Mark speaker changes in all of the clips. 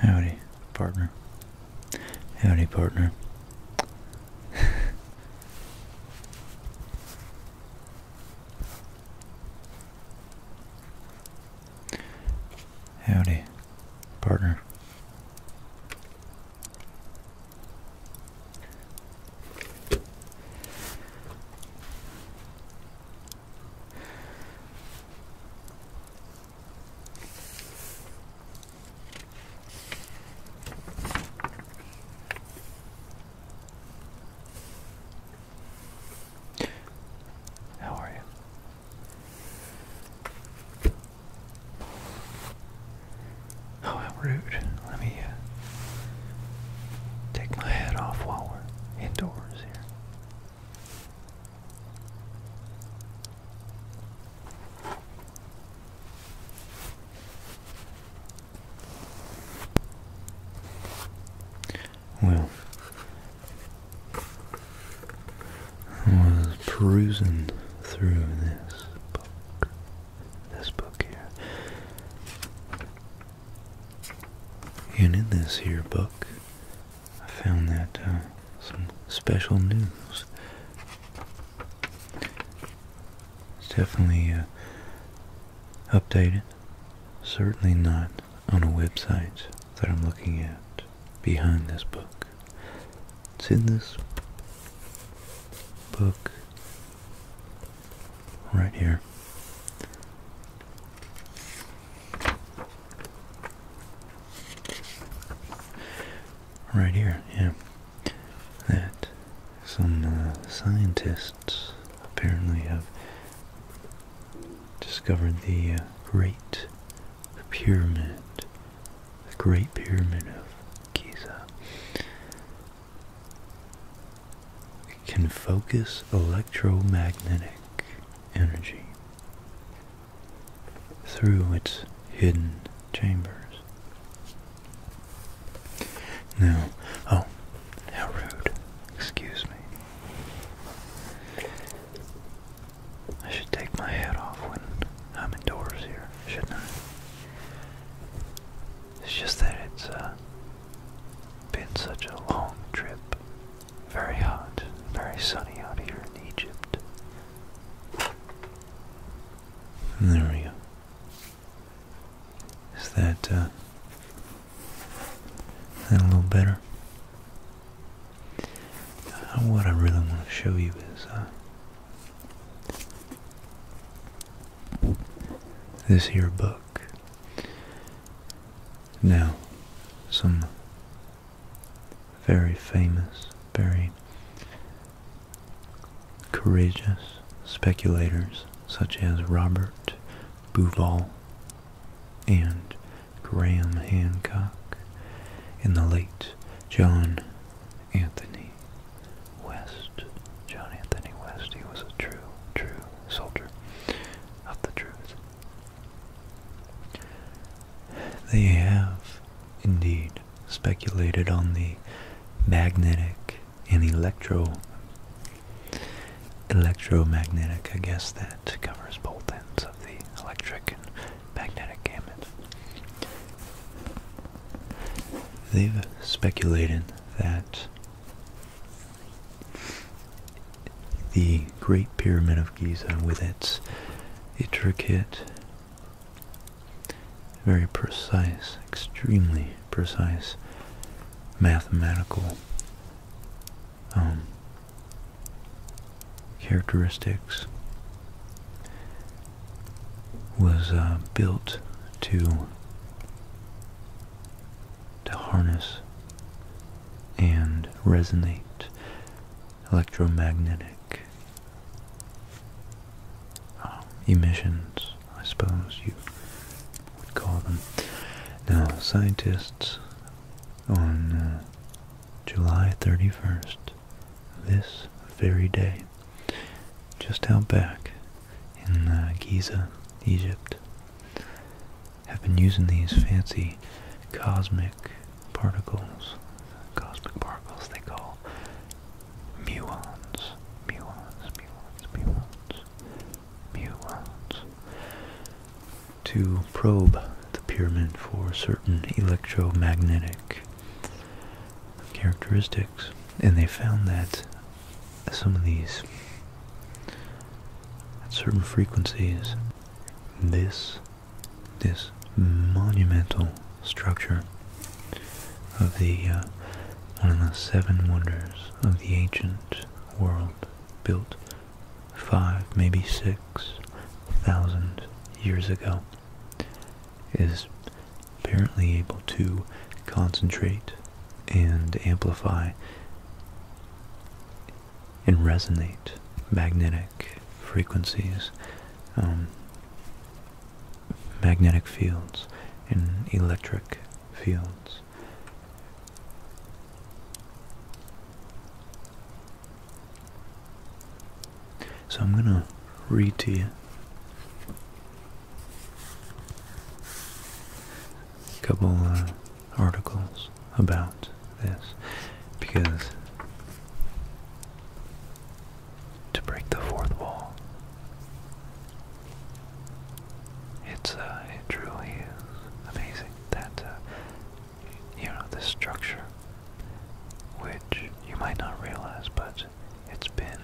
Speaker 1: Howdy, partner. Howdy, partner. Howdy, partner.
Speaker 2: How are you? Oh, how rude. Let me uh, take my hat off while we're indoors here
Speaker 1: well, I was perusing through this book, this book here, and in this here book, I found that uh, some special news. It's definitely uh, updated. Certainly not on a website that I'm looking at behind this book. It's in this book right here. Right here, yeah. That some uh, scientists apparently have discovered the uh, great pyramid, the great pyramid of Giza, can focus electromagnetic energy through its hidden chambers.
Speaker 2: Now, oh, how rude, excuse me. I should take my hat off when I'm indoors here, shouldn't I? It's just that it's uh, been such a long trip. Very hot, very sunny out here in Egypt.
Speaker 1: there we go. Is that uh, and a little better. Uh, what I really want to show you is uh, this here book. Now, some very famous, very courageous speculators such as Robert Bouval and Graham Hancock, and the late John Anthony West. John Anthony West, he was a true, true soldier of the truth. They have indeed speculated on the magnetic and electro Electromagnetic, I guess that covers both ends of the electric and magnetic gamut. They've speculated that the Great Pyramid of Giza, with its intricate, very precise, extremely precise mathematical um, characteristics was uh, built to to harness and resonate electromagnetic um, emissions, I suppose you would call them. Now, scientists on uh, July 31st, this very day, just out back in uh, Giza, Egypt, have been using these fancy cosmic particles, cosmic particles they call muons, muons, muons, muons, muons, to probe the pyramid for certain electromagnetic characteristics. And they found that some of these, at certain frequencies, this, this monumental structure of the, uh, one of the seven wonders of the ancient world built five, maybe six thousand years ago, is apparently able to concentrate and amplify and resonate magnetic frequencies, um, magnetic fields, and electric fields. So I'm going to read to you a couple uh, articles about this because to break the
Speaker 2: fourth wall it's uh, it truly is amazing that uh, you know this structure, which you might not realize, but it's been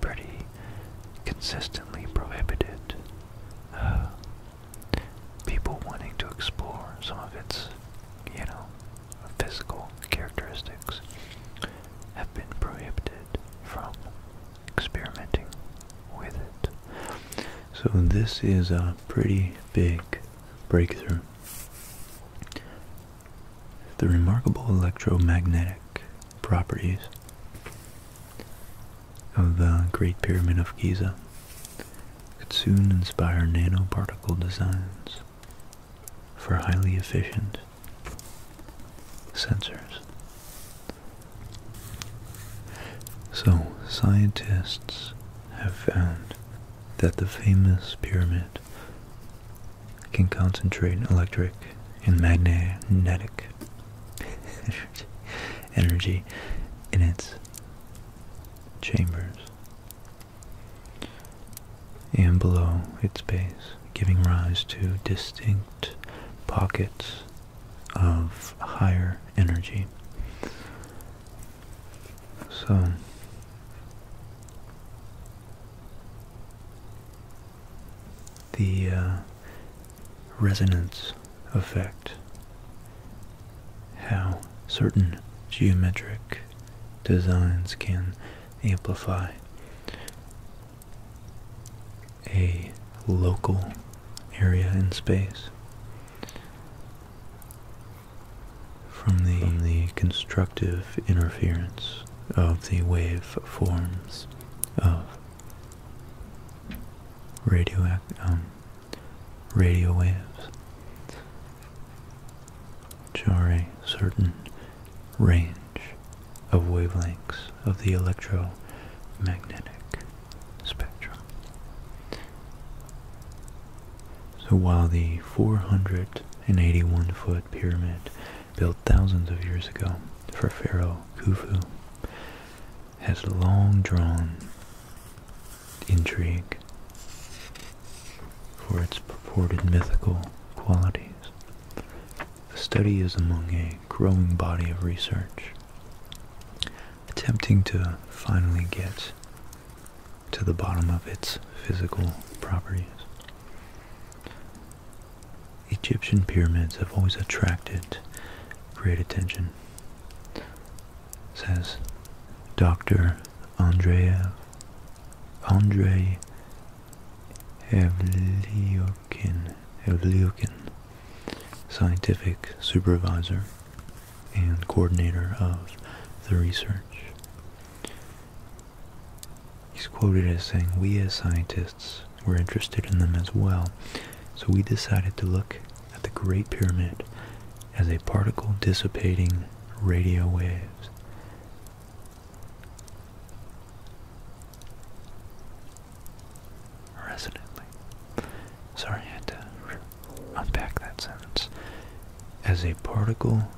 Speaker 2: pretty consistently prohibited. Uh, people wanting to explore some of its, you know, physical
Speaker 1: characteristics have been prohibited from experimenting with it. So this is a pretty big breakthrough. The remarkable electromagnetic properties of the Great Pyramid of Giza could soon inspire nanoparticle designs for highly efficient sensors so, scientists have found that the famous pyramid can concentrate electric and magnetic energy in its chambers and below its base, giving rise to distinct pockets of higher energy. So, the uh, resonance effect, how certain geometric designs can amplify a local area in space. From the, the constructive interference of the wave forms of radio, um, radio waves, which are a certain range of wavelengths of the electromagnetic spectrum. So while the 481 foot pyramid built thousands of years ago for Pharaoh Khufu has long drawn intrigue for its purported mythical qualities. The study is among a growing body of research attempting to finally get to the bottom of its physical properties. Egyptian pyramids have always attracted great attention, says Dr. Andrei Andrei Evliov. Ken Evliukin, scientific supervisor and coordinator of the research. He's quoted as saying, we as scientists were interested in them as well, so we decided to look at the Great Pyramid as a particle dissipating radio waves resonantly. Sorry, I had to unpack that sentence. As a particle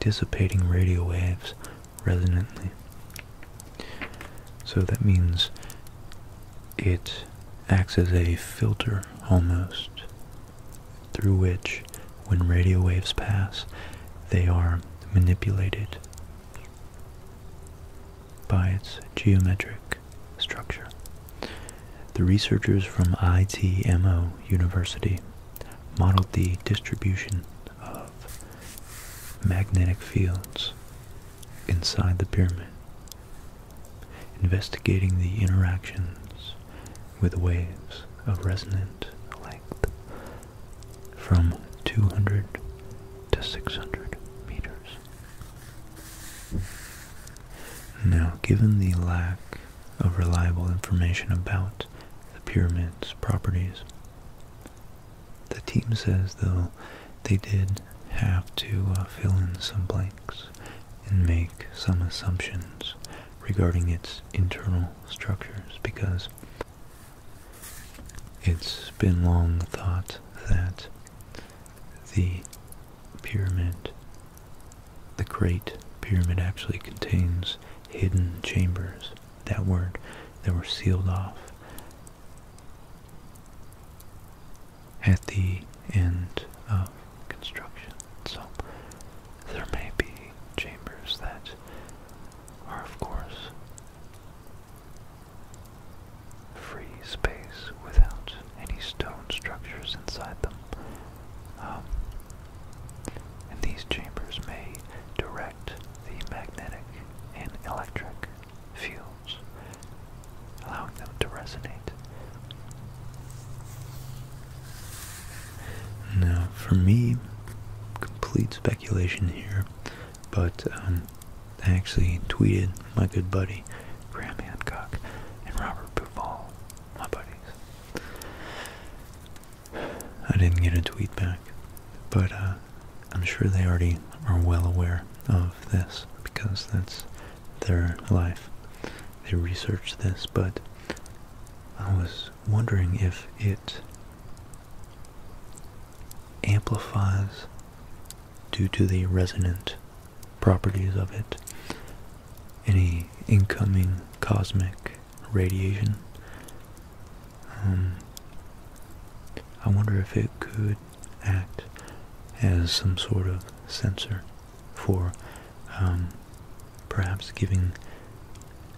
Speaker 1: dissipating radio waves resonantly. So that means it acts as a filter almost through which, when radio waves pass, they are manipulated by its geometric structure. The researchers from ITMO University modeled the distribution of magnetic fields inside the pyramid, investigating the interactions with waves of resonant length from 200 to 600 meters. Now, given the lack of reliable information about the pyramid's properties, the team says, though, they did have to uh, fill in some blanks and make some assumptions regarding its internal structures because it's been long thought that the pyramid, the Great Pyramid actually contains hidden chambers, that word, that were sealed off. At the end of construction.
Speaker 2: So there may be chambers that are, of course, free space without any stone structures inside them. Um, and these chambers may direct the magnetic and electric
Speaker 1: fields, allowing them to resonate. Now, for me, complete speculation here. But um, I actually tweeted my good buddy Graham Hancock and Robert Buval, my buddies. I didn't get a tweet back, but uh, I'm sure they already are well aware of this because that's their life. They researched this, but I was wondering if it amplifies due to the resonant properties of it any incoming cosmic radiation. Um, I wonder if it could act as some sort of sensor for um, perhaps giving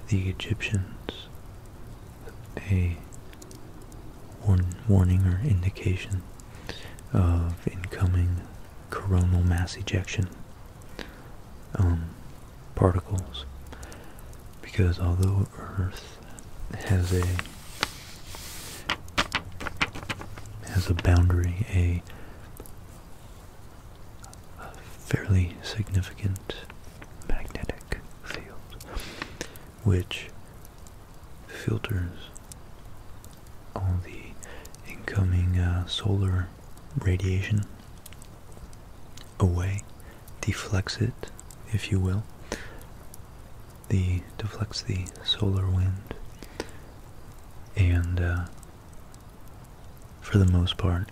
Speaker 1: the Egyptians a one warning or indication of incoming coronal mass ejection um, particles because although Earth has a has a boundary, a fairly significant magnetic field, which filters all the incoming uh, solar radiation away, deflects it, if you will. The deflects the solar wind, and uh, for the most part,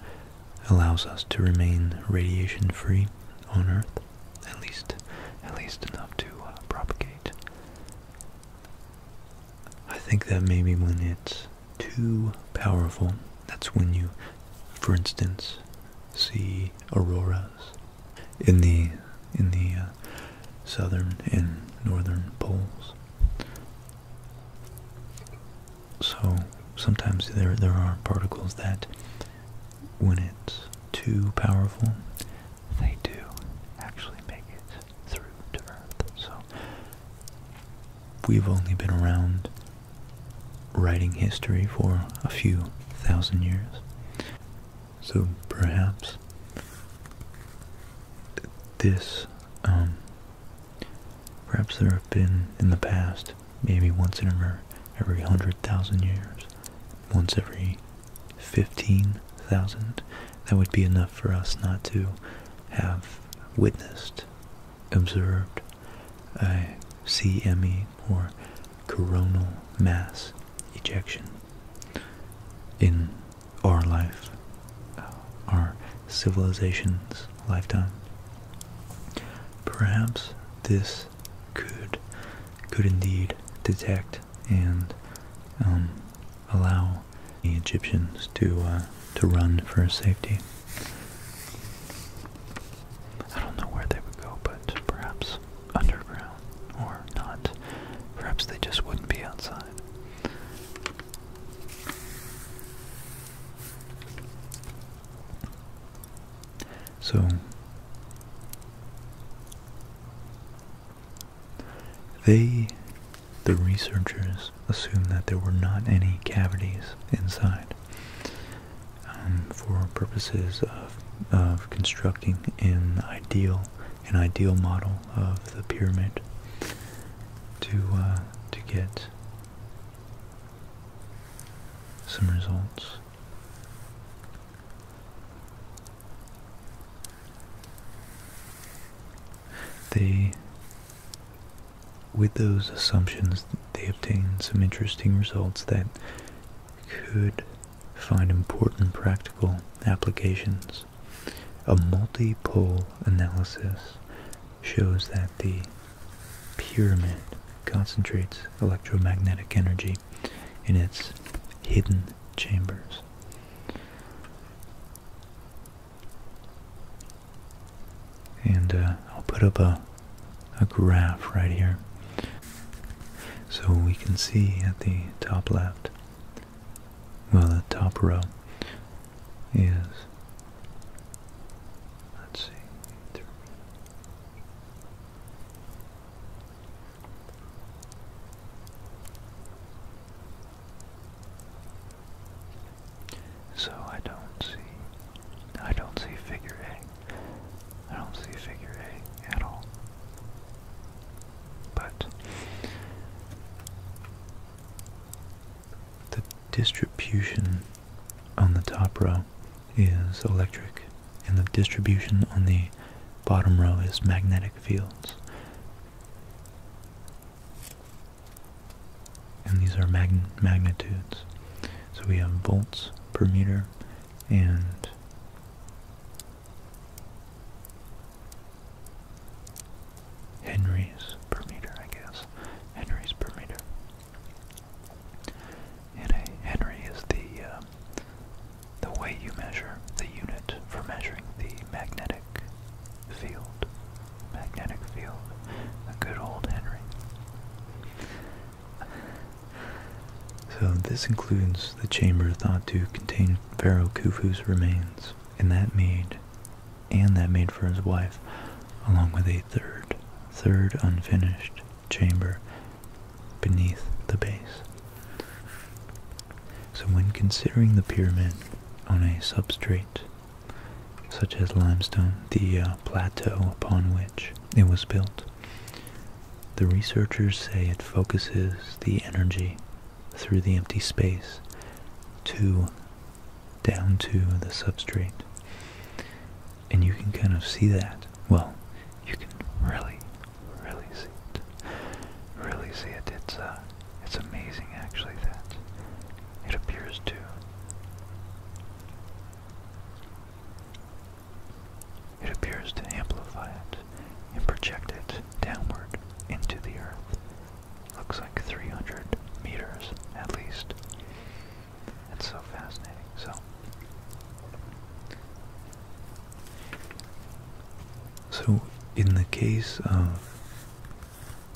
Speaker 1: allows us to remain radiation free on Earth. At least, at least enough to uh, propagate. I think that maybe when it's too powerful, that's when you, for instance, see auroras in the in the uh, southern and northern poles. So sometimes there there are particles that when it's too powerful, they do actually make it through to Earth. So we've only been around writing history for a few thousand years. So perhaps this, um, perhaps there have been in the past, maybe once in every, every hundred thousand years, once every 15,000, that would be enough for us not to have witnessed, observed a CME or coronal mass ejection in our life, uh, our civilization's lifetime. Perhaps this could could indeed detect and um, allow the Egyptians to uh, to run for safety. I don't know where they would go,
Speaker 2: but perhaps underground or not. Perhaps they just wouldn't be outside.
Speaker 1: So they, the researchers, assumed that there were not any cavities inside um, for purposes of, of constructing an ideal, an ideal model of the pyramid to, uh, to get some results with those assumptions, they obtain some interesting results that could find important practical applications. A multi-pole analysis shows that the pyramid concentrates electromagnetic energy in its hidden chambers. And uh, I'll put up a, a graph right here so we can see at the top left, well the top row is, let's see,
Speaker 2: so I don't see, I don't see figure A. I don't see figure A at all. But
Speaker 1: the distribution on the top row is electric and the distribution on the bottom row is magnetic fields. And these are magnitudes. So we have volts per meter and henries per meter, I guess. Henries per meter. Uh, Henry is the uh, the way you measure the unit for measuring the magnetic field. Magnetic field. A good old Henry. So this includes the chamber thought to contain Pharaoh Khufu's remains, and that made, and that made for his wife, along with a third, third unfinished chamber beneath the base. So when considering the pyramid on a substrate such as limestone, the uh, plateau upon which it was built, the researchers say it focuses the energy through the empty space to down to the substrate. And you can kind of see that. Well, you can really
Speaker 2: really see it. Really see it. It's uh, it's amazing actually that it appears to. It appears to amplify it and project it downward into the earth. Looks like 300 meters at least. It's so fascinating. So
Speaker 1: so, in the case of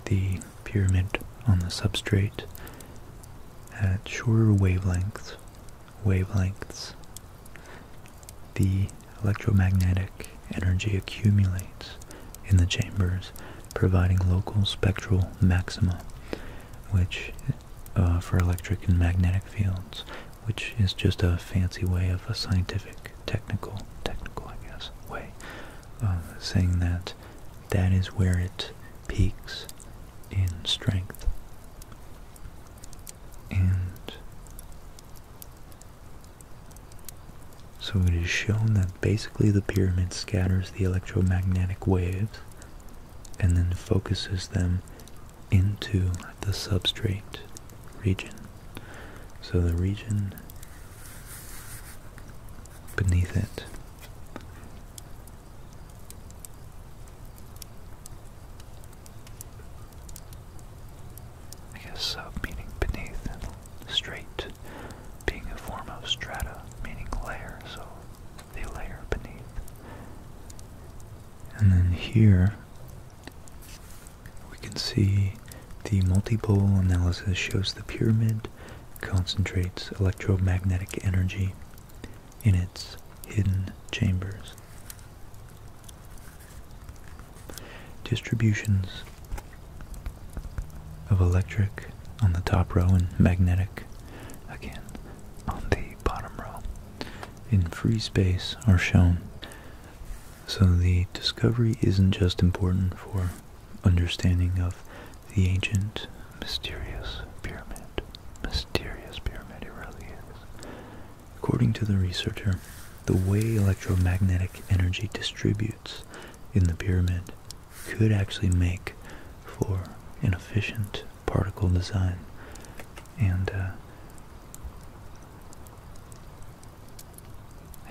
Speaker 1: the pyramid on the substrate, at shorter wavelengths, wavelengths, the electromagnetic energy accumulates in the chambers, providing local spectral maxima, which uh, for electric and magnetic fields, which is just a fancy way of a scientific, technical, technical, I guess, way, uh, saying that that is where it peaks in strength. And so it is shown that basically the pyramid scatters the electromagnetic waves and then focuses them into the substrate region. So the region beneath it
Speaker 2: I guess sub meaning beneath straight being a form of strata meaning layer, so the layer
Speaker 1: beneath. And then here we can see the multi-pole analysis shows the pyramid concentrates electromagnetic energy in its hidden chambers. Distributions of electric on the top row and magnetic again on the bottom row in free space are shown. So the discovery isn't just important for understanding of the ancient mysterious pyramid. Mysterious pyramid, it really is. According to the researcher, the way electromagnetic energy distributes in the pyramid could actually make for an efficient particle design and uh,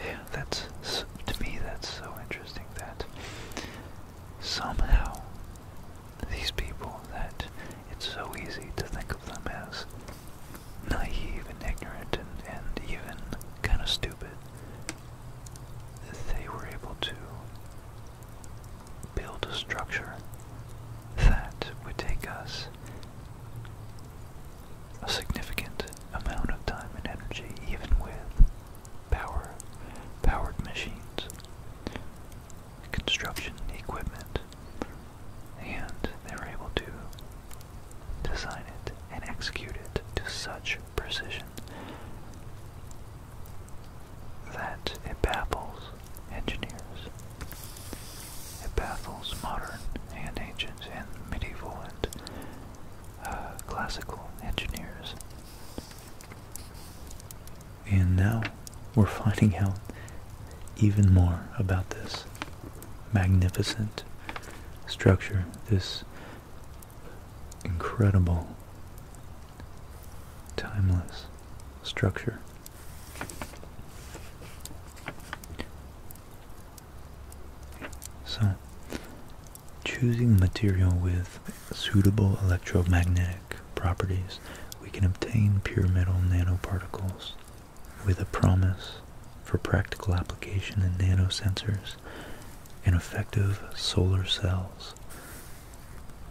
Speaker 1: yeah that's to me that's so interesting that
Speaker 2: somehow these people that it's so easy to think of them as naive and ignorant and, and even kind of stupid they were able to build a structure that would take us a significant amount of time and energy, even with power, powered machines, construction equipment, and they're able to design it and execute it to such precision that it baffles engineers. It baffles modern and ancient and medieval and uh, classical engineers.
Speaker 1: And now we're finding out even more about this magnificent structure, this incredible, timeless structure. So, choosing material with suitable electromagnetic properties, we can obtain pure metal nanoparticles with a promise for practical application in nanosensors and effective solar cells.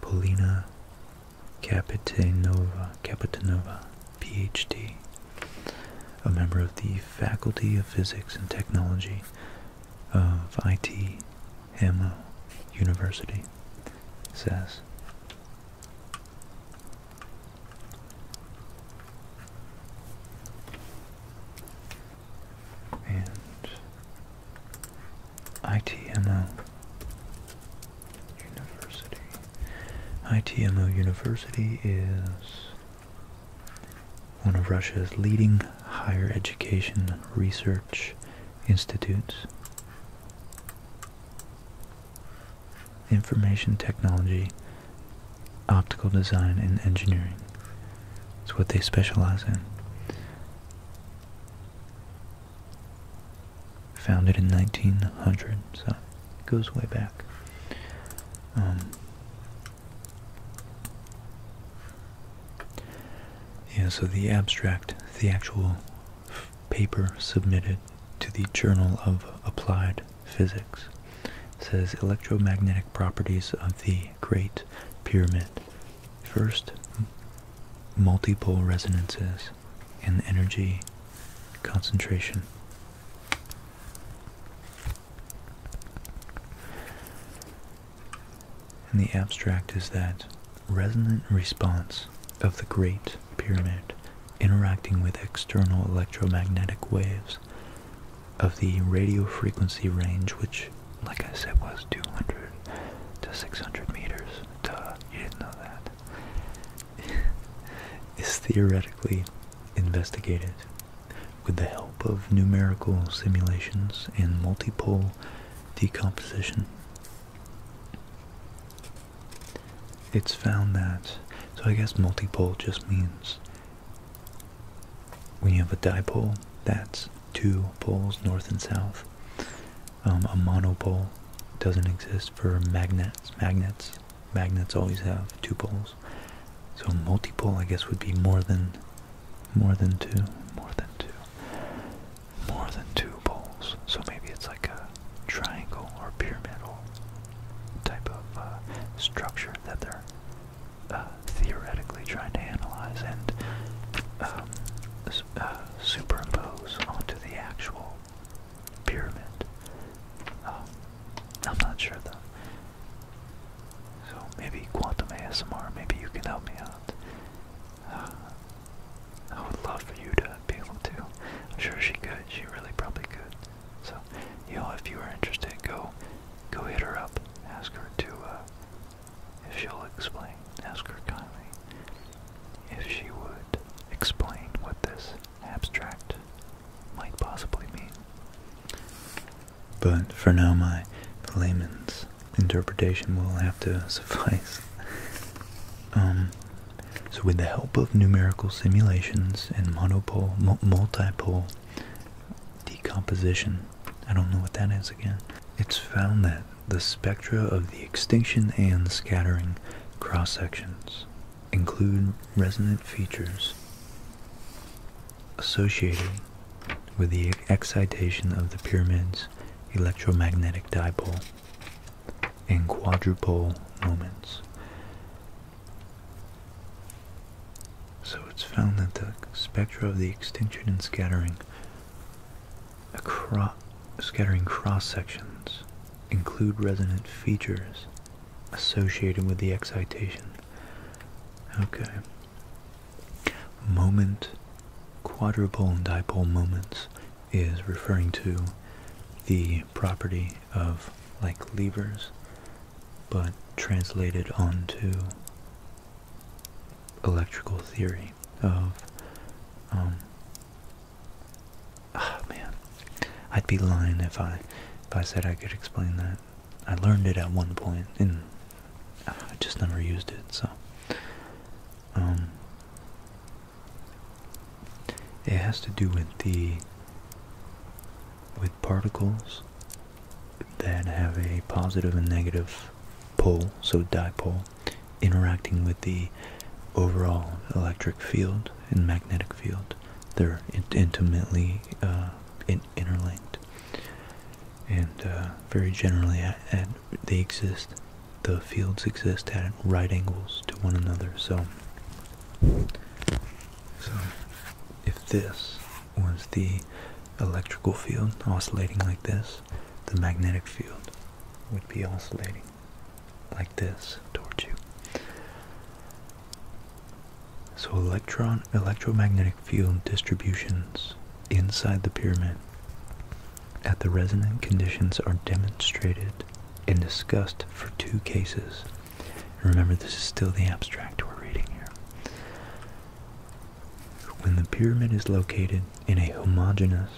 Speaker 1: Polina Capitanova, Capitanova, PhD, a member of the Faculty of Physics and Technology of IT Hamlo University, says. And ITMO ITMO University is one of Russia's leading higher education research institutes. Information technology, optical design, and engineering. It's what they specialize in. Founded in 1900, so it goes way back. Um, yeah, so the abstract, the actual paper submitted to the Journal of Applied Physics, says electromagnetic properties of the Great Pyramid. First, multipole resonances, and energy concentration. And the abstract is that resonant response of the Great Pyramid interacting with external electromagnetic waves of the radio frequency range, which, like I said, was 200 to 600 meters.
Speaker 2: you didn't know that.
Speaker 1: is theoretically investigated with the help of numerical simulations and multipole decomposition. It's found that, so I guess multipole just means when you have a dipole, that's two poles, north and south. Um, a monopole doesn't exist for magnets. Magnets, magnets always have two poles. So multipole, I guess, would be more than, more than two, more than two,
Speaker 2: more than two poles. So maybe it's like a triangle or pyramidal type of uh, structure that they're uh, theoretically trying to analyze and um, uh, superimpose onto the actual pyramid. Um, I'm not sure though. So maybe quantum ASMR, maybe you can help me out. Uh, I would love for you to be able to. I'm sure she could. She really probably could. So, you know, if you are interested, go, go hit her up. Ask her to, uh, if she'll explain. Ask her kindly if she would explain what this
Speaker 1: abstract might possibly mean. But for now, my layman's interpretation will have to suffice. Um, so, with the help of numerical simulations and monopole, multipole decomposition, I don't know what that is again. It's found that the spectra of the extinction and scattering cross sections include resonant features associated with the excitation of the pyramid's electromagnetic dipole and quadrupole moments. So it's found that the spectra of the extinction and scattering scattering cross sections include resonant features associated with the excitation. Okay. Moment, quadrupole and dipole moments is referring to the property of like levers, but translated onto electrical theory of um, oh, man, I'd be lying if I if I said I could explain that. I learned it at one point and I just never used it. So, um, it has to do with the with particles that have a positive and negative pole, so dipole, interacting with the overall electric field and magnetic field. They're intimately uh, interlinked, and uh, very generally, at they exist. The fields exist at right angles to one another. So, so if this was the electrical field oscillating like this, the magnetic field would be oscillating like this towards you. So electron electromagnetic field distributions inside the pyramid at the resonant conditions are demonstrated and discussed for two cases. remember this is still the abstract we're reading here. When the pyramid is located in a homogeneous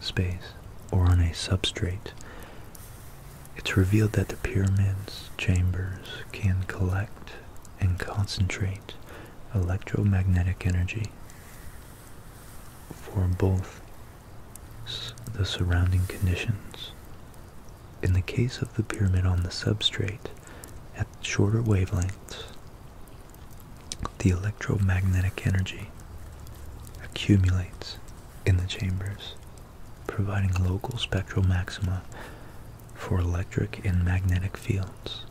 Speaker 1: space or on a substrate, it's revealed that the pyramid's chambers can collect and concentrate electromagnetic energy for both the surrounding conditions. In the case of the pyramid on the substrate, at shorter wavelengths, the electromagnetic energy accumulates in the chambers, providing local spectral maxima for electric and magnetic fields.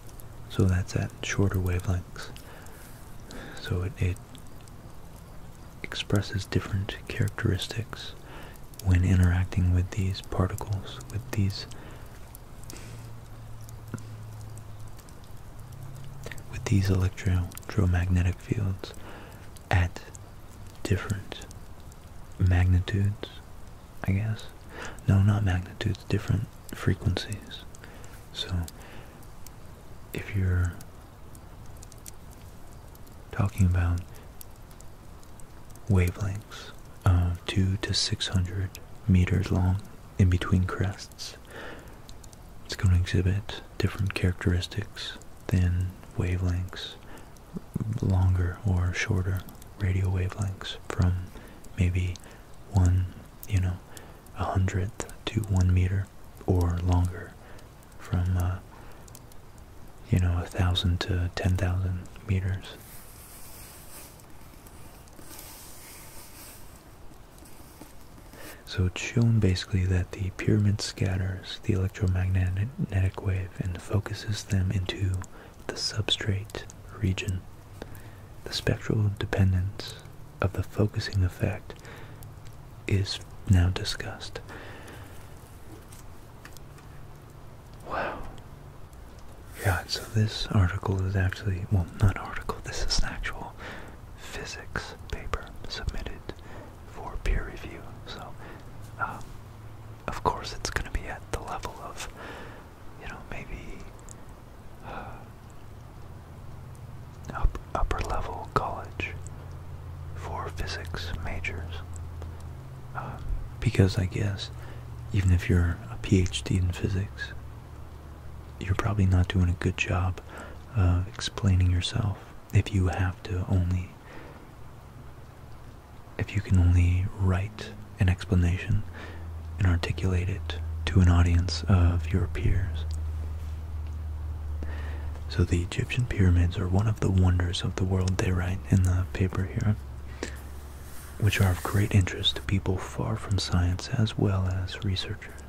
Speaker 1: So that's at shorter wavelengths. So it, expresses different characteristics when interacting with these particles, with these with these electromagnetic fields at different magnitudes, I guess. No, not magnitudes, different frequencies. So, if you're talking about wavelengths of uh, 2 to 600 meters long in between crests, it's going to exhibit different characteristics than wavelengths, longer or shorter radio wavelengths from maybe one, you know, a hundredth to one meter or longer from, uh, you know, a thousand to ten thousand meters. So it's shown basically that the pyramid scatters the electromagnetic wave and focuses them into the substrate region. The spectral dependence of the focusing effect is now discussed. Wow. Yeah, so this article is actually, well, not article, this is an actual physics paper submitted for peer review. So, um, of course, it's going to be at the level of,
Speaker 2: you know, maybe uh, upper level college for physics majors.
Speaker 1: Um, because I guess even if you're a PhD in physics, you're probably not doing a good job of uh, explaining yourself if you have to only if you can only write an explanation and articulate it to an audience of your peers. So the Egyptian pyramids are one of the wonders of the world, they write in the paper here, which are of great interest to people far from science as well as researchers.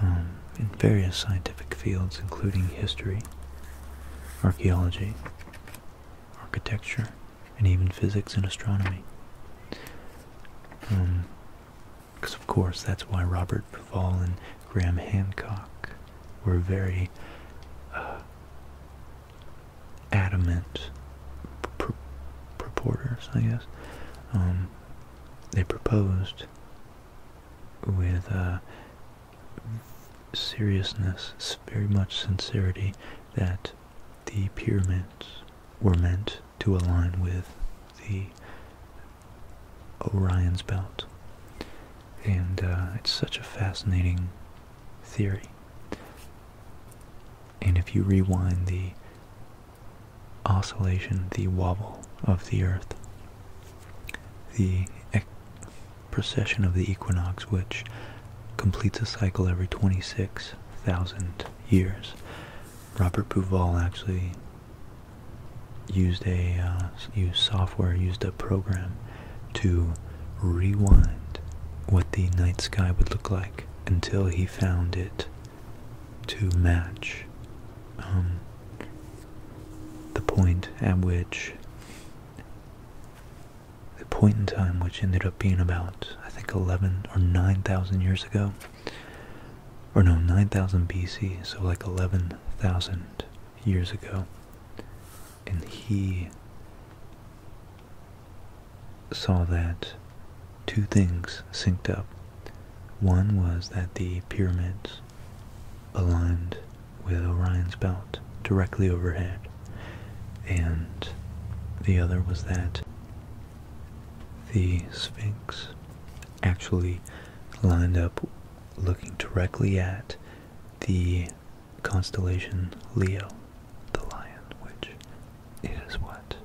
Speaker 1: Um, in various scientific fields, including history, archaeology, architecture, and even physics and astronomy. because um, of course that's why Robert Pavall and Graham Hancock were very uh, adamant pur I guess, um, they proposed with uh, seriousness, very much sincerity, that the pyramids were meant to align with the Orion's belt. And uh, it's such a fascinating theory. And if you rewind the oscillation, the wobble of the earth, the precession of the equinox, which completes a cycle every 26,000 years. Robert Bouval actually used a uh, used software, used a program to rewind what the night sky would look like until he found it to match um, the point at which the point in time which ended up being about I think 11 or 9,000 years ago or no 9,000 BC so like 11,000 years ago and he saw that two things synced up. One was that the pyramids aligned with Orion's belt directly overhead, and the other was that the Sphinx actually lined up looking directly at the constellation Leo, the lion, which
Speaker 2: is what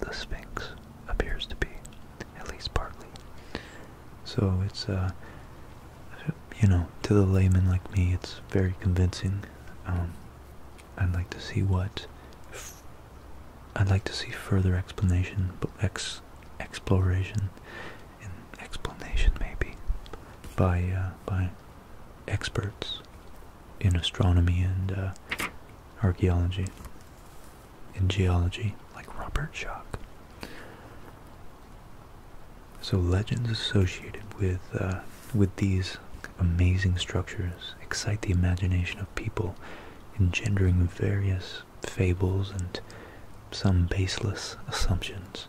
Speaker 2: the, Sphinx appears to be,
Speaker 1: at least partly. So it's, uh, you know, to the layman like me, it's very convincing. Um, I'd like to see what, I'd like to see further explanation, ex exploration, and explanation maybe, by uh, by experts in astronomy and uh, archaeology in geology, like Robert Schock. So legends associated with uh, with these amazing structures excite the imagination of people, engendering various fables and some baseless assumptions.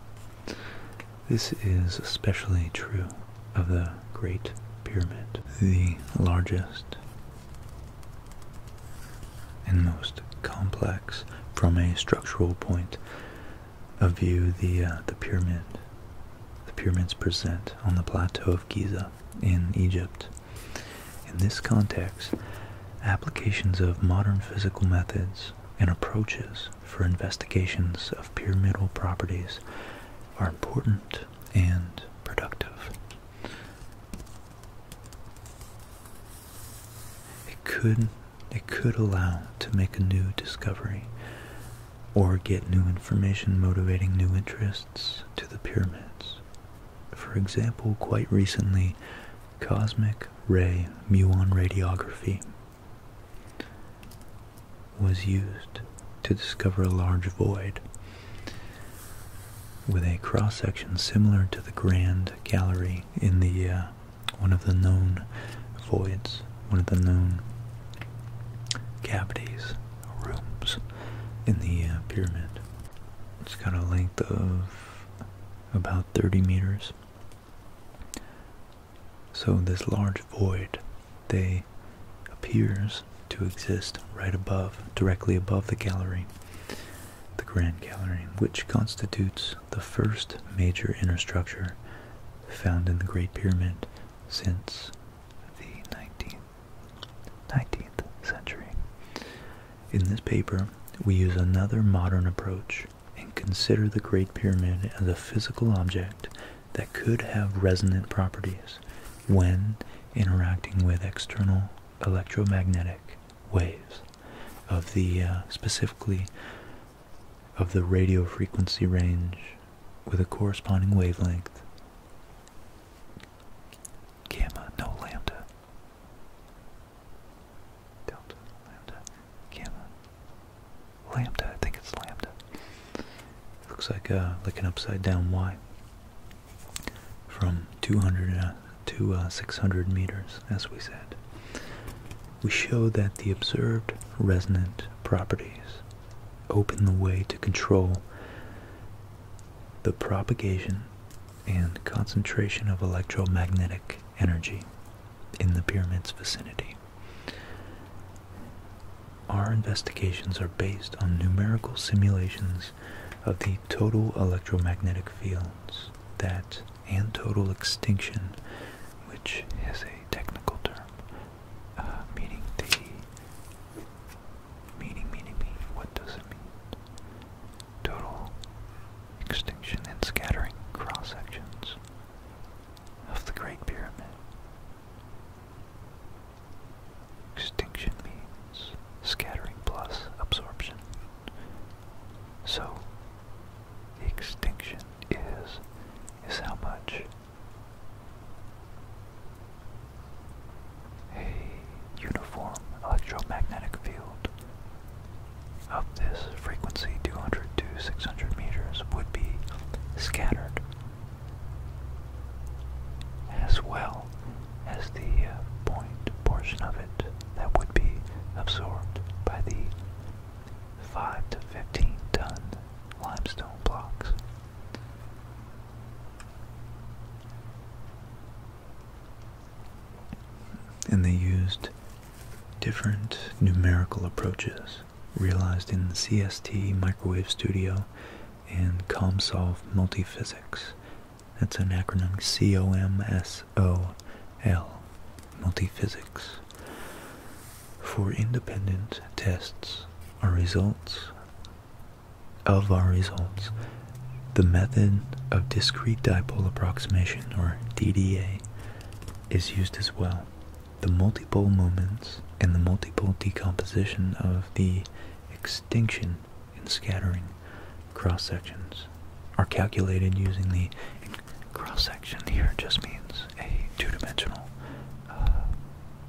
Speaker 1: This is especially true of the Great Pyramid, the largest and most complex from a structural point of view the uh, the pyramid the pyramids present on the plateau of Giza in Egypt in this context applications of modern physical methods and approaches for investigations of pyramidal properties are important and productive it could it could allow to make a new discovery or get new information motivating new interests to the pyramids. For example, quite recently, cosmic ray muon radiography was used to discover a large void with a cross section similar to the Grand Gallery in the uh, one of the known voids, one of the known cavities, rooms in the uh, pyramid. It's got a length of about 30 meters. So this large void, they appears to exist right above, directly above the gallery, the Grand Gallery, which constitutes the first major inner structure found in the Great Pyramid since the 19th, century. In this paper, we use another modern approach and consider the Great Pyramid as a physical object that could have resonant properties when interacting with external electromagnetic waves of the uh, specifically of the radio frequency range with a corresponding wavelength gamma no lambda delta lambda gamma lambda I think it's lambda looks like uh like an upside down y from 200 uh, to uh, 600 meters, as we said, we show that the observed resonant properties open the way to control the propagation and concentration of electromagnetic energy in the pyramid's vicinity our investigations are based on numerical simulations of the total electromagnetic fields that and total extinction, which is a technical term, uh, meaning the
Speaker 2: meaning, meaning, meaning. What does it mean? Total extinction and scattering cross sections of the Great Pyramid. Extinction means scattering plus absorption. So, the extinction is, is how much a uniform electromagnetic field of this frequency 200 to 600 meters would be scattered as well as the uh, point portion of it that would be absorbed by the 5 to 15 ton limestone blocks.
Speaker 1: And they used different numerical approaches realized in the CST microwave studio and COMSOL Multiphysics. That's an acronym C O M S O L, Multiphysics. For independent tests, our results of our results, the method of discrete dipole approximation, or DDA, is used as well. The multiple moments and the multiple decomposition of the extinction and scattering cross sections are calculated using the cross section here just means a two-dimensional uh,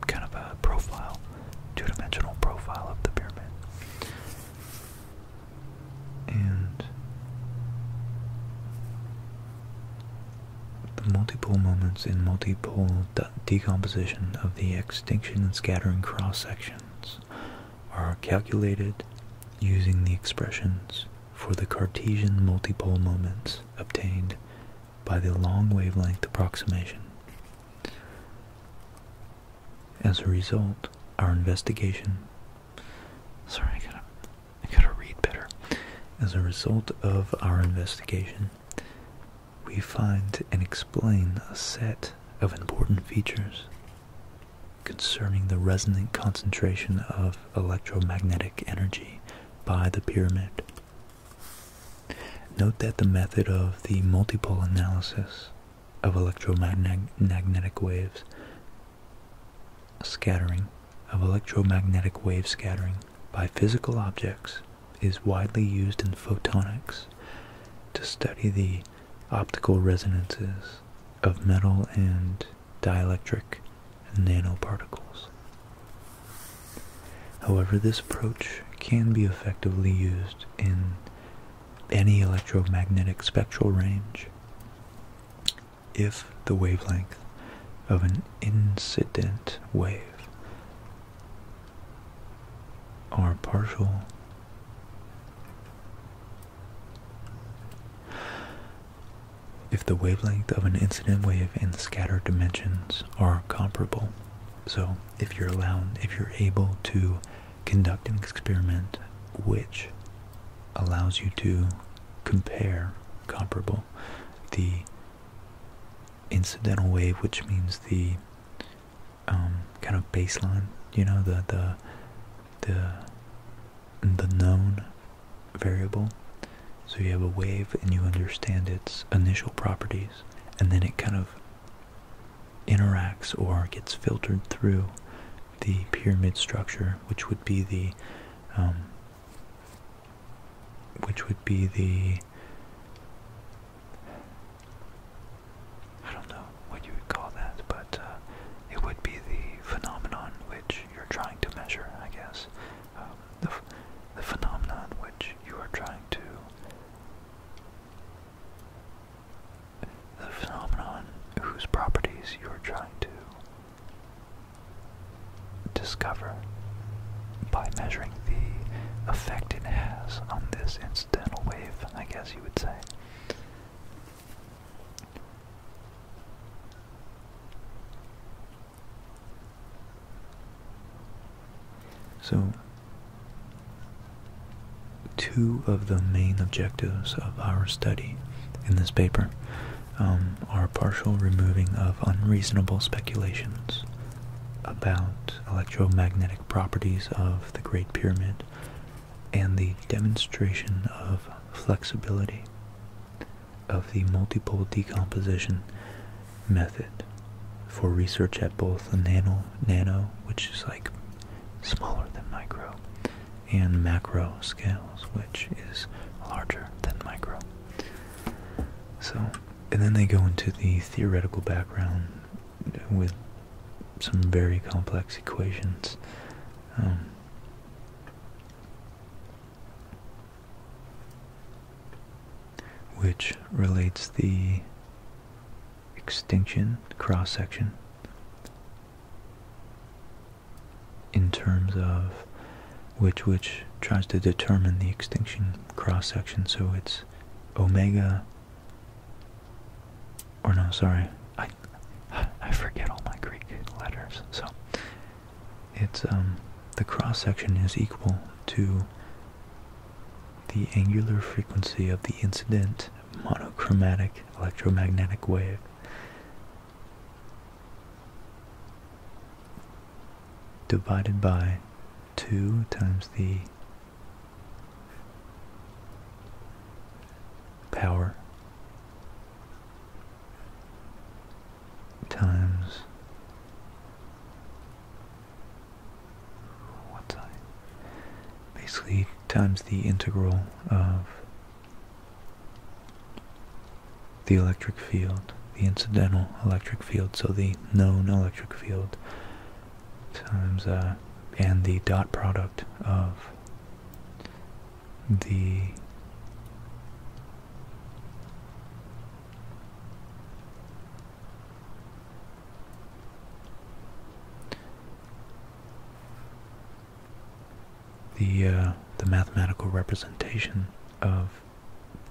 Speaker 1: kind of a profile, two-dimensional profile of the pyramid. And the multipole moments in multipole decomposition of the x extinction and scattering cross sections are calculated using the expressions for the Cartesian multipole moments obtained by the long wavelength approximation. As a result, our investigation sorry I gotta I gotta read better. As a result of our investigation, we find and explain a set of important features concerning the resonant concentration of electromagnetic energy by the pyramid. Note that the method of the multiple analysis of electromagnetic waves scattering of electromagnetic wave scattering by physical objects is widely used in photonics to study the optical resonances of metal and dielectric nanoparticles. However, this approach can be effectively used in any electromagnetic spectral range if the wavelength of an incident wave are partial. If the wavelength of an incident wave and the scattered dimensions are comparable, so if you're allowed, if you're able to conduct an experiment which allows you to compare comparable the incidental wave, which means the um, kind of baseline, you know, the the the the known variable. So you have a wave and you understand its initial properties, and then it kind of interacts or gets filtered through the pyramid structure, which would be the um, which would be the I don't know what you would call that, but uh,
Speaker 2: it would be the phenomenon which you're trying to measure, I guess. Um, the, the phenomenon which you are trying to. The phenomenon whose properties you are trying to discover by measuring the effect it has on this incidental wave, I guess you would say.
Speaker 1: So, two of the main objectives of our study in this paper um, are partial removing of unreasonable speculations about electromagnetic properties of the Great Pyramid and the demonstration of flexibility of the multiple decomposition method for research at both the nano, nano which is like smaller than micro, and macro scales, which is larger than micro. So, and then they go into the theoretical background with some very complex equations. Um, which relates the extinction cross section in terms of which which tries to determine the extinction cross section so it's omega or no, sorry. I
Speaker 2: I forget all my Greek letters.
Speaker 1: So it's um the cross section is equal to the angular frequency of the incident monochromatic electromagnetic wave. Divided by 2 times the power times what's I basically times the integral of the electric field, the incidental electric field, so the known electric field times uh, and the dot product of the the uh, mathematical representation of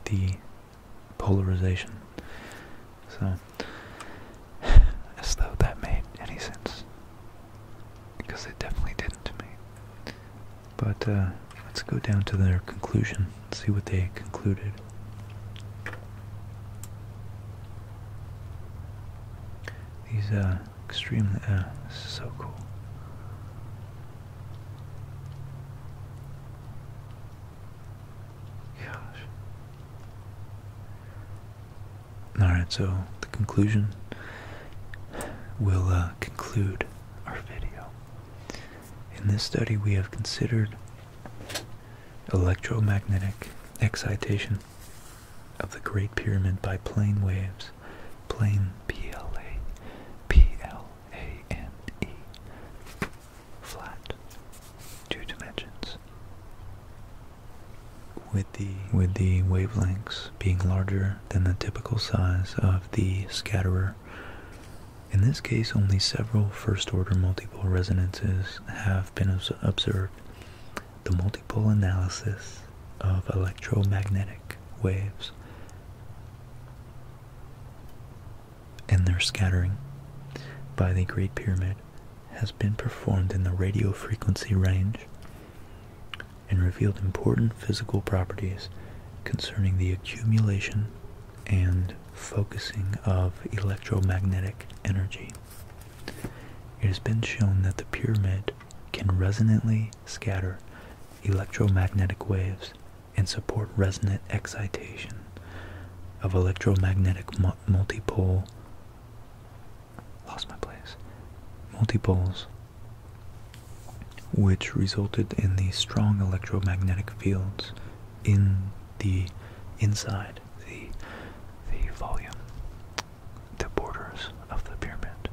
Speaker 1: the polarization. So, as though that
Speaker 2: made any sense. Because it definitely didn't to
Speaker 1: me. But uh, let's go down to their conclusion, see what they concluded. These are extremely, uh, uh
Speaker 2: so cool.
Speaker 1: Gosh. Alright, so the conclusion will uh, conclude our video. In this study, we have considered electromagnetic excitation of the Great Pyramid by plane waves, plane PLA, PLANE, flat, two dimensions. With the, with the wavelengths being larger than the typical size of the scatterer, in this case only several first-order multipole resonances have been observed. The multipole analysis of electromagnetic waves and their scattering by the Great Pyramid has been performed in the radio frequency range and revealed important physical properties concerning the accumulation and focusing of electromagnetic energy. It has been shown that the pyramid can resonantly scatter electromagnetic waves and support resonant excitation of electromagnetic multipole. Lost my place. Multipoles, which resulted in the strong electromagnetic fields in the inside the the volume, the borders of the pyramid.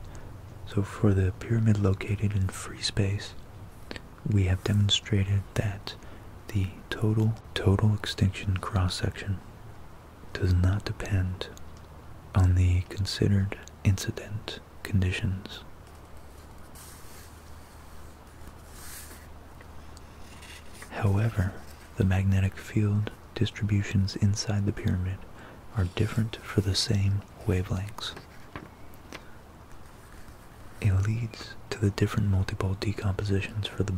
Speaker 1: So for the pyramid located in free space, we have demonstrated that the total total extinction cross-section does not depend on the considered incident conditions. However, the magnetic field distributions inside the pyramid are different for the same wavelengths. It leads to the different multiple decompositions for the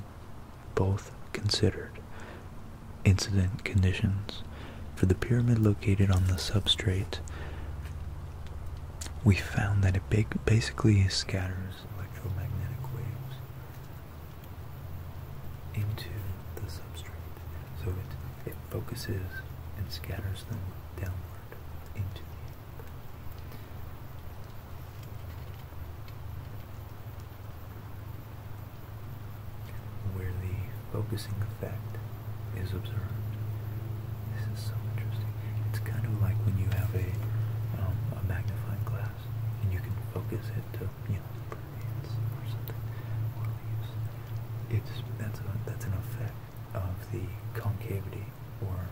Speaker 1: both considered incident conditions. For the pyramid located on the substrate, we found that it basically scatters electromagnetic waves into the substrate. So it, it focuses and scatters them downward into the where the focusing effect is observed. This is so interesting. It's kind of like when you have a, um, a magnifying glass and you can focus it to, you know, birds or something. It's, that's, a, that's an effect of the concavity or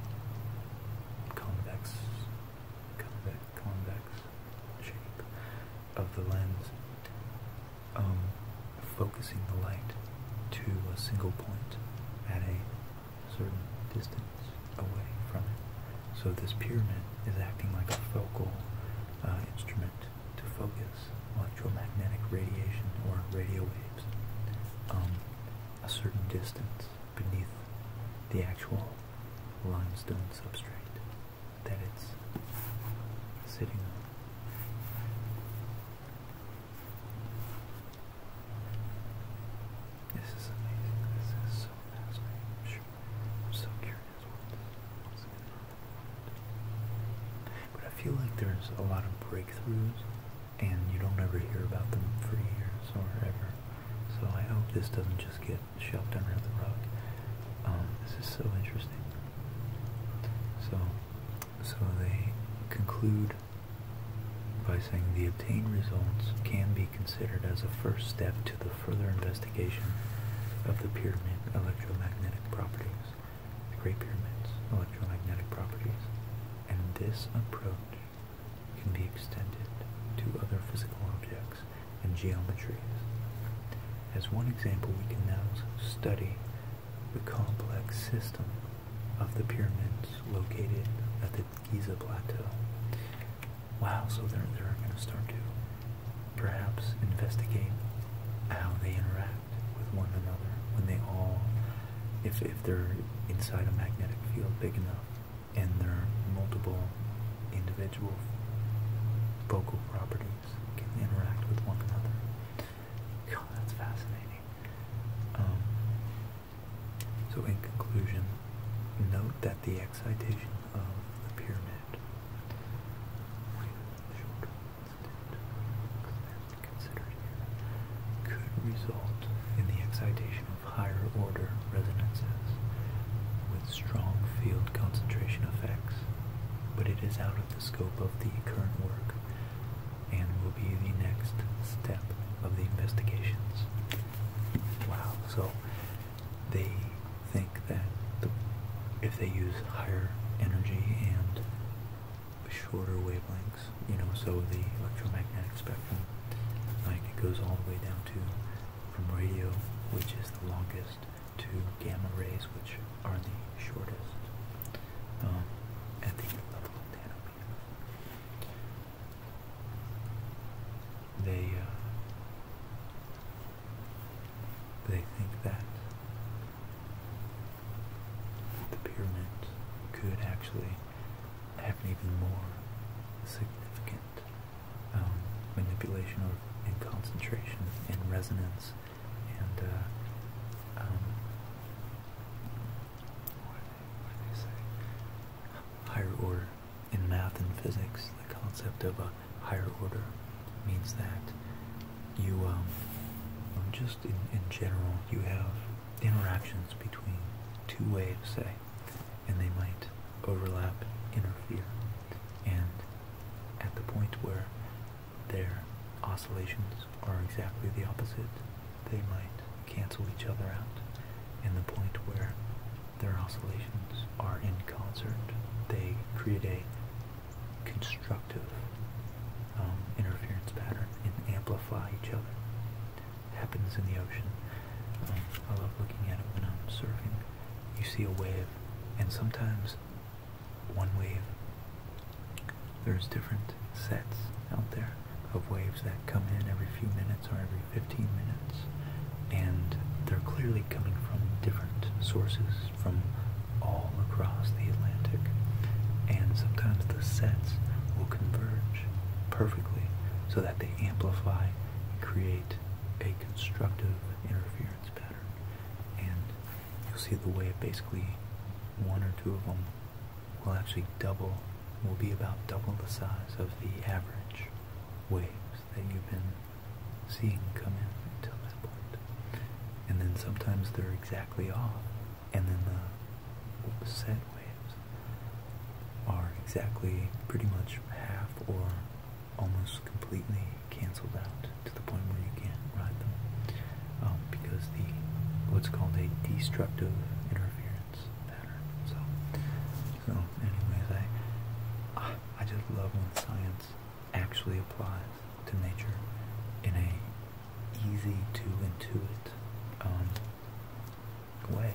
Speaker 1: convex, convex, convex shape of the lens, um, focusing the light to a single point at a certain distance away from it. So this pyramid is acting like a focal uh, instrument to focus electromagnetic radiation or radio waves um, a certain distance beneath the actual limestone substrate that it's sitting on. This is amazing. This is so fascinating. I'm, sure. I'm so curious what's going But I feel like there's a lot of breakthroughs and you don't ever hear about them for years or ever. So I hope this doesn't just get shoved under the rug. Um, this is so interesting. So, so they conclude by saying the obtained results can be considered as a first step to the further investigation of the pyramid electromagnetic properties, the Great Pyramid's electromagnetic properties, and this approach can be extended to other physical objects and geometries. As one example, we can now study the complex system of the pyramids located at the Giza Plateau. Wow, so they're, they're going to start to perhaps investigate how they interact with one another when they all, if, if they're inside a magnetic field big enough, and their multiple individual vocal properties can interact with one another. God, that's fascinating. Um, so, in conclusion, note that the excitation of the pyramid considered here could result in the excitation higher order resonances with strong field concentration effects, but it is out of the scope of the current work and will be the next step of the investigations. Wow, so they think that if they use higher energy and shorter wavelengths, you know, so the electromagnetic spectrum, like it goes all the way down to from radio, which is the longest, to gamma rays, which are the shortest um, at the level of nanometers. They uh, they think that the pyramid could actually. Have even more significant um, manipulation of, and concentration and resonance and uh, um, what do they, say? Higher order in math and physics. The concept of a higher order means that you um, just in general you have interactions between two waves, say, and they might overlap, interfere, and at the point where their oscillations are exactly the opposite, they might cancel each other out, and the point where their oscillations are in concert, they create a constructive um, interference pattern and amplify each other happens in the ocean. Um, I love looking at it when I'm surfing. You see a wave, and sometimes one wave, there's different sets out there of waves that come in every few minutes or every 15 minutes, and they're clearly coming from different sources from all across the Atlantic. And sometimes the sets will converge perfectly so that they amplify and create a constructive interference pattern. And you'll see the way basically one or two of them will actually double, will be about double the size of the average waves that you've been seeing come in until that point. And then sometimes they're exactly off, and then the set are exactly pretty much half or almost completely canceled out to the point where you can't ride them um, because the what's called a destructive interference pattern. So, so anyways, I I just love when science actually applies to nature in a easy to intuit um, way.